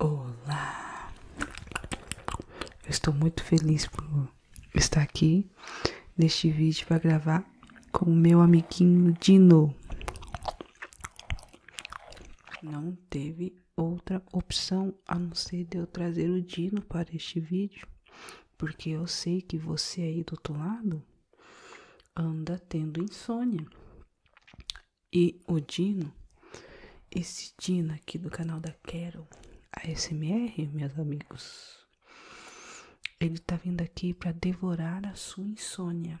Olá, eu estou muito feliz por estar aqui neste vídeo para gravar com o meu amiguinho Dino. Não teve outra opção a não ser de eu trazer o Dino para este vídeo, porque eu sei que você aí do outro lado anda tendo insônia. E o Dino, esse Dino aqui do canal da Carol, ASMR, meus amigos, ele tá vindo aqui para devorar a sua insônia.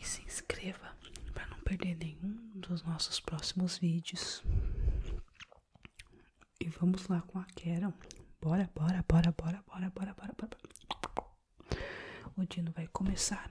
e se inscreva para não perder nenhum dos nossos próximos vídeos. E vamos lá com a Carol. Bora, bora, bora, bora, bora, bora, bora, bora. O Dino vai começar.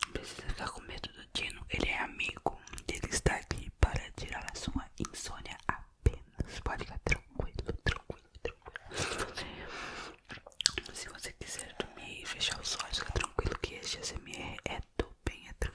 Não precisa ficar com medo do Dino, ele é amigo. Ele está aqui para tirar a sua insônia apenas. Pode ficar tranquilo, tranquilo, tranquilo. Se você quiser dormir e fechar os olhos, fica tranquilo que este SMR é do bem, é tranquilo.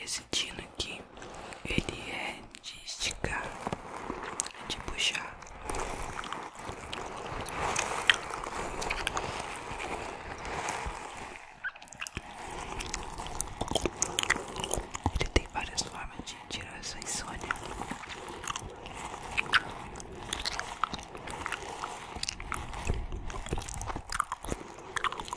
Esse tino aqui, ele é de esticar, é de puxar. Ele tem várias formas de tirar essa insônia.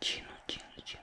チーノチーノチー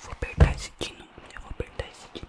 Vou apertar esse dino. Eu vou apertar esse dino.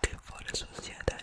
que fora a sociedade.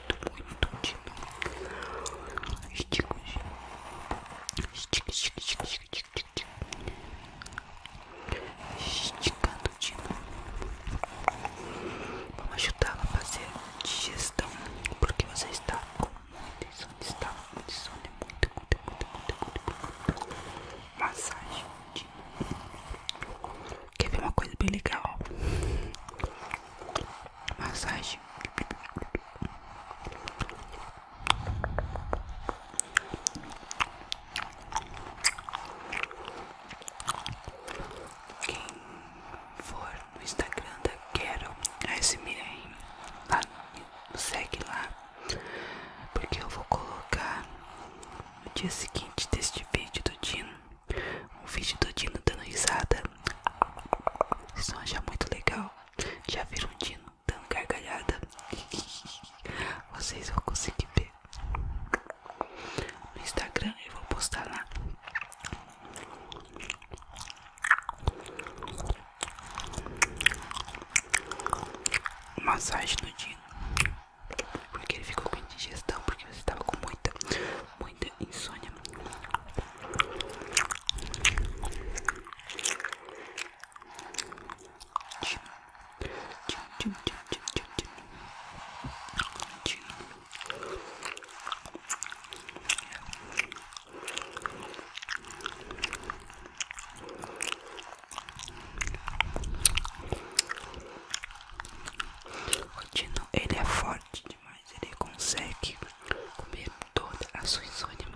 muito, muito de novo. Estico, estico, estico, estico, estico, estico. Esticando de novo. Vamos ajudá-la a fazer digestão. Porque você está com muita insônia. Está com insônia. Muito, muito, muito, muito, muito. Massagem de novo. Quer ver uma coisa bem legal? Massagem. Quem for no Instagram da Quero ASMR, lá, segue lá, porque eu vou colocar no dia seguinte deste vídeo do Dino um vídeo do Dino dando risada. Vocês vão achar muito legal. Já viram o Dino dando gargalhada? Vocês vão conseguir ver. No Instagram eu vou postar lá. Massagem no Dino. Porque ele ficou com indigestão, porque você estava com muita, muita insônia. O Dino, ele é forte demais, ele consegue comer toda a sua insônia.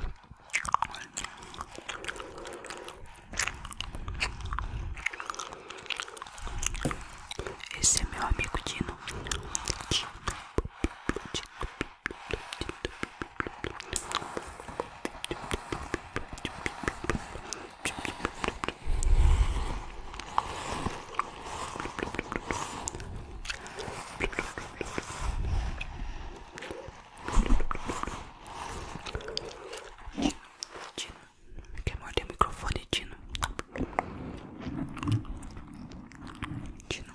Esse é meu amigo Dino. Dino. Dino. Tino, quer morder o microfone, Tino? Tino,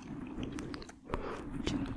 Tino.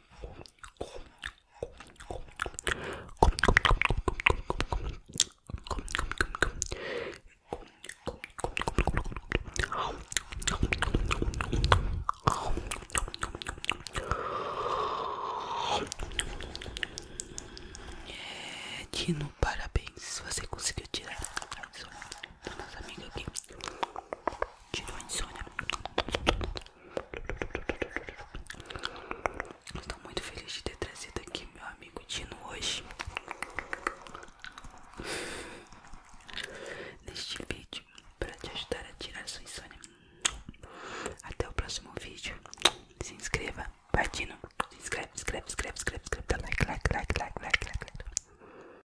É, Dino, parabéns. Você conseguiu tirar mais um da nossa aqui. Tirou a insônia. Estou muito feliz de ter trazido aqui meu amigo Dino hoje. Neste vídeo, para te ajudar a tirar sua insônia. Até o próximo vídeo. Se inscreva, vai Dino. Se inscreve, inscreve, inscreve, inscreve, inscreve. Dá like, like, like, like, like, like. like.